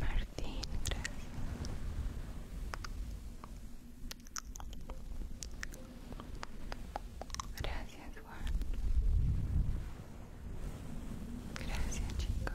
Martín, gracias. Gracias, Juan. Gracias, chicos.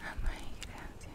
Amén, gracias.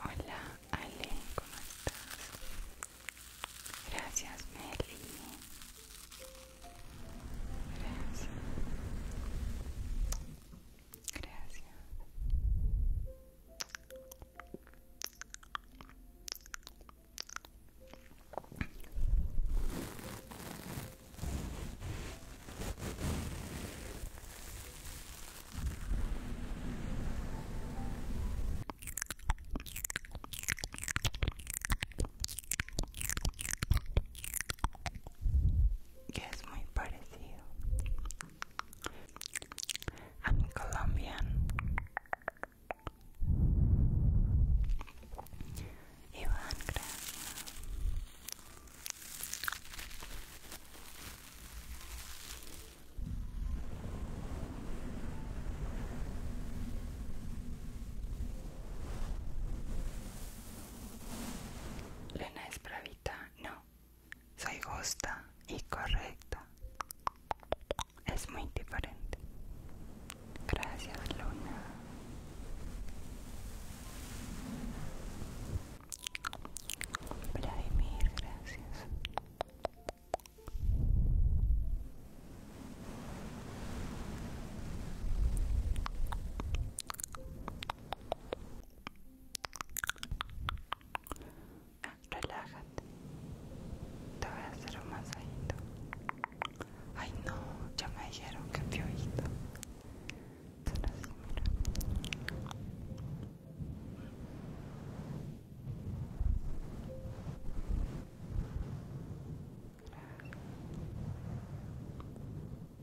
Hola Ale, ¿cómo estás? Gracias Meli. Gracias. Gracias. que es muy parecido I'm Colombian. Iván, gracias. Lena es bravita, no, soy justa y correcta. Es muy diferente. Gracias, Luna. gracias. Relájate. Te voy a hacer un masajito. Ay no, ya me dijeron que piojito. Solo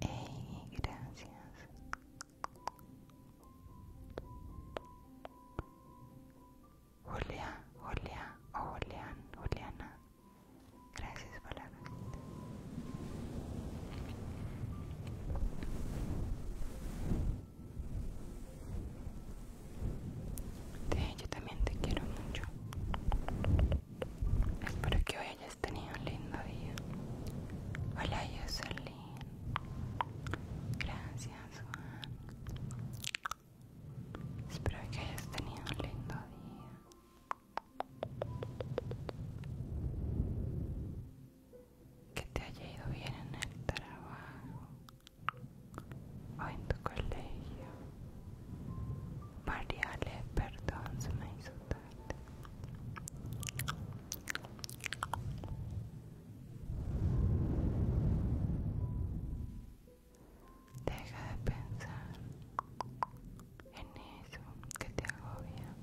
Hey, gracias. Julia, Julia o Julián, Juliana. Gracias por la visita. Sí, yo también te quiero mucho. Espero que hoy hayas tenido un lindo día. Hola, yo soy Gracias, Juan. Espero que hayas tenido un lindo día. Que te haya ido bien en el trabajo o en tu colegio le perdón, se me hizo tarde. Deja de pensar en eso que te agobia.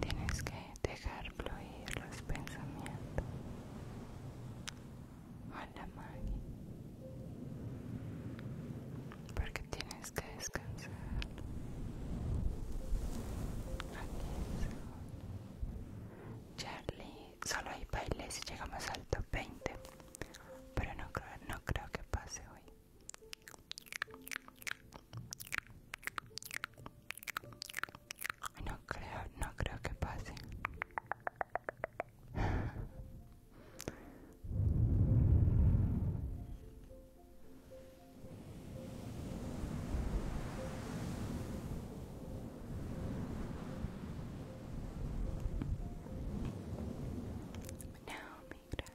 Tienes que dejar fluir los pensamientos Hola la Maggie porque tienes que descansar aquí Charlie solo hay bailes si llegamos al top 20 pero no creo, no creo que pase hoy no creo, no creo que pase. Naomi, gracias.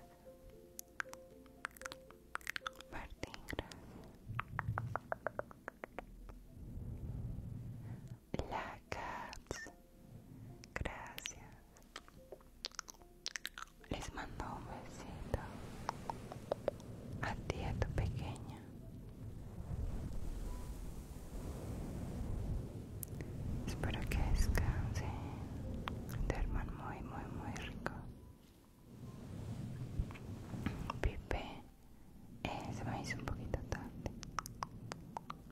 Martín, gracias la Cats. Gracias. Les mando un besito a ti, a tu pequeña. Espero que descansen, duerman muy, muy, muy rico. Pipe, eh, se me hizo un poquito tarde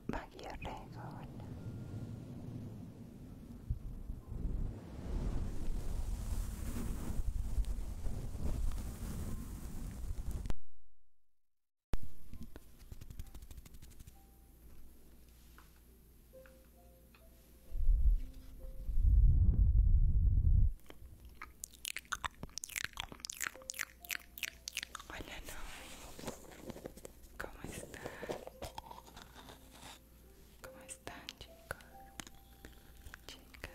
magia regol Olha não, como está? Como está, Chica? Chica?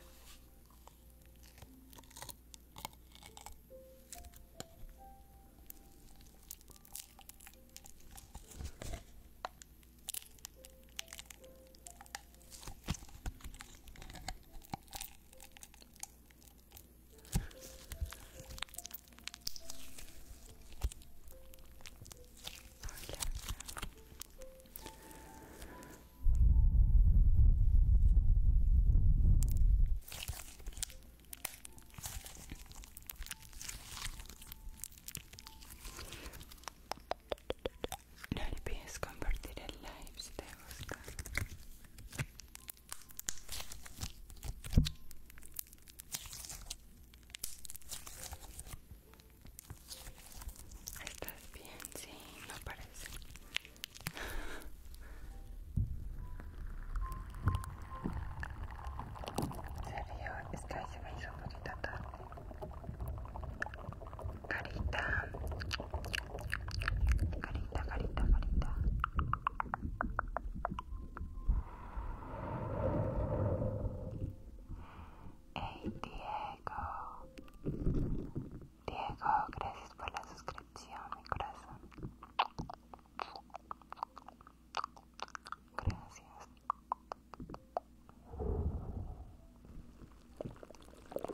No olvides compartir el live si te gusta. Estás bien, sí, no parece. Serio, es que ahí se me hizo un poquito tarde. Carita, Carita, carita, carita. Hey Diego. Diego, gracias por la suscripción, mi corazón. Gracias.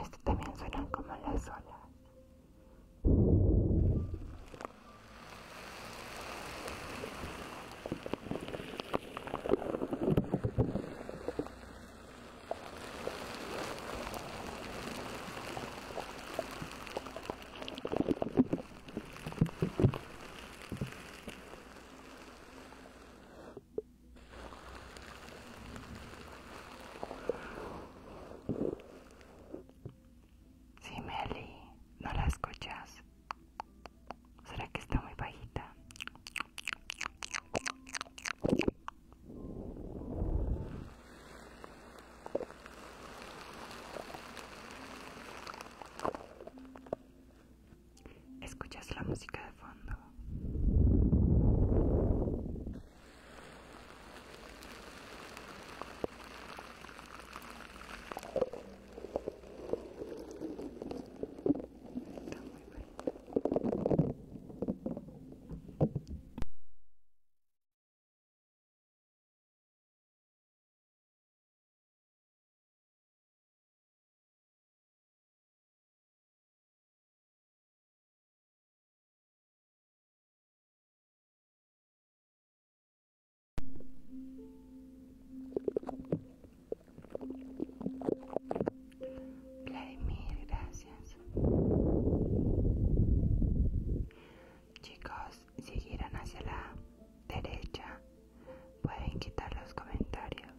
Esto también suena como las olas. Sí, Meli, ¿no la escuchas? ¿Será que está muy bajita? Escuchas la música de fondo. Vladimir, gracias. Chicos, siguieron hacia la derecha Pueden quitar los comentarios.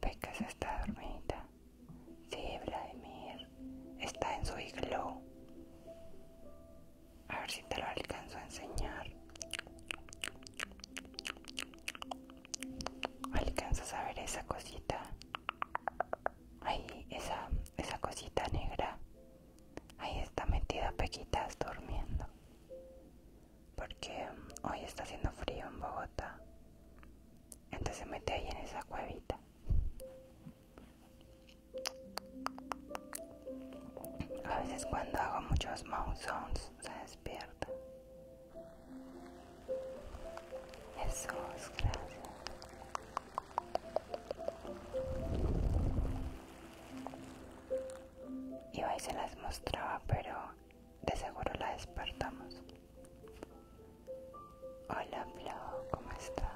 Pecas está dormida. Sí, Vladimir. Está en su iglú. A ver si te lo alcanzo a enseñar. ¿Alcanzas a ver esa cosita? Ahí, esa, esa cosita negra. Ahí está metida Pequitas durmiendo. Porque mm, hoy está haciendo frío en Bogotá. Entonces se mete ahí en esa cuevita. A veces cuando hago muchos mouth sounds se despierta. Jesús, gracias. Y hoy se las mostraba, pero de seguro la despertamos. Hola Flo, ¿cómo estás?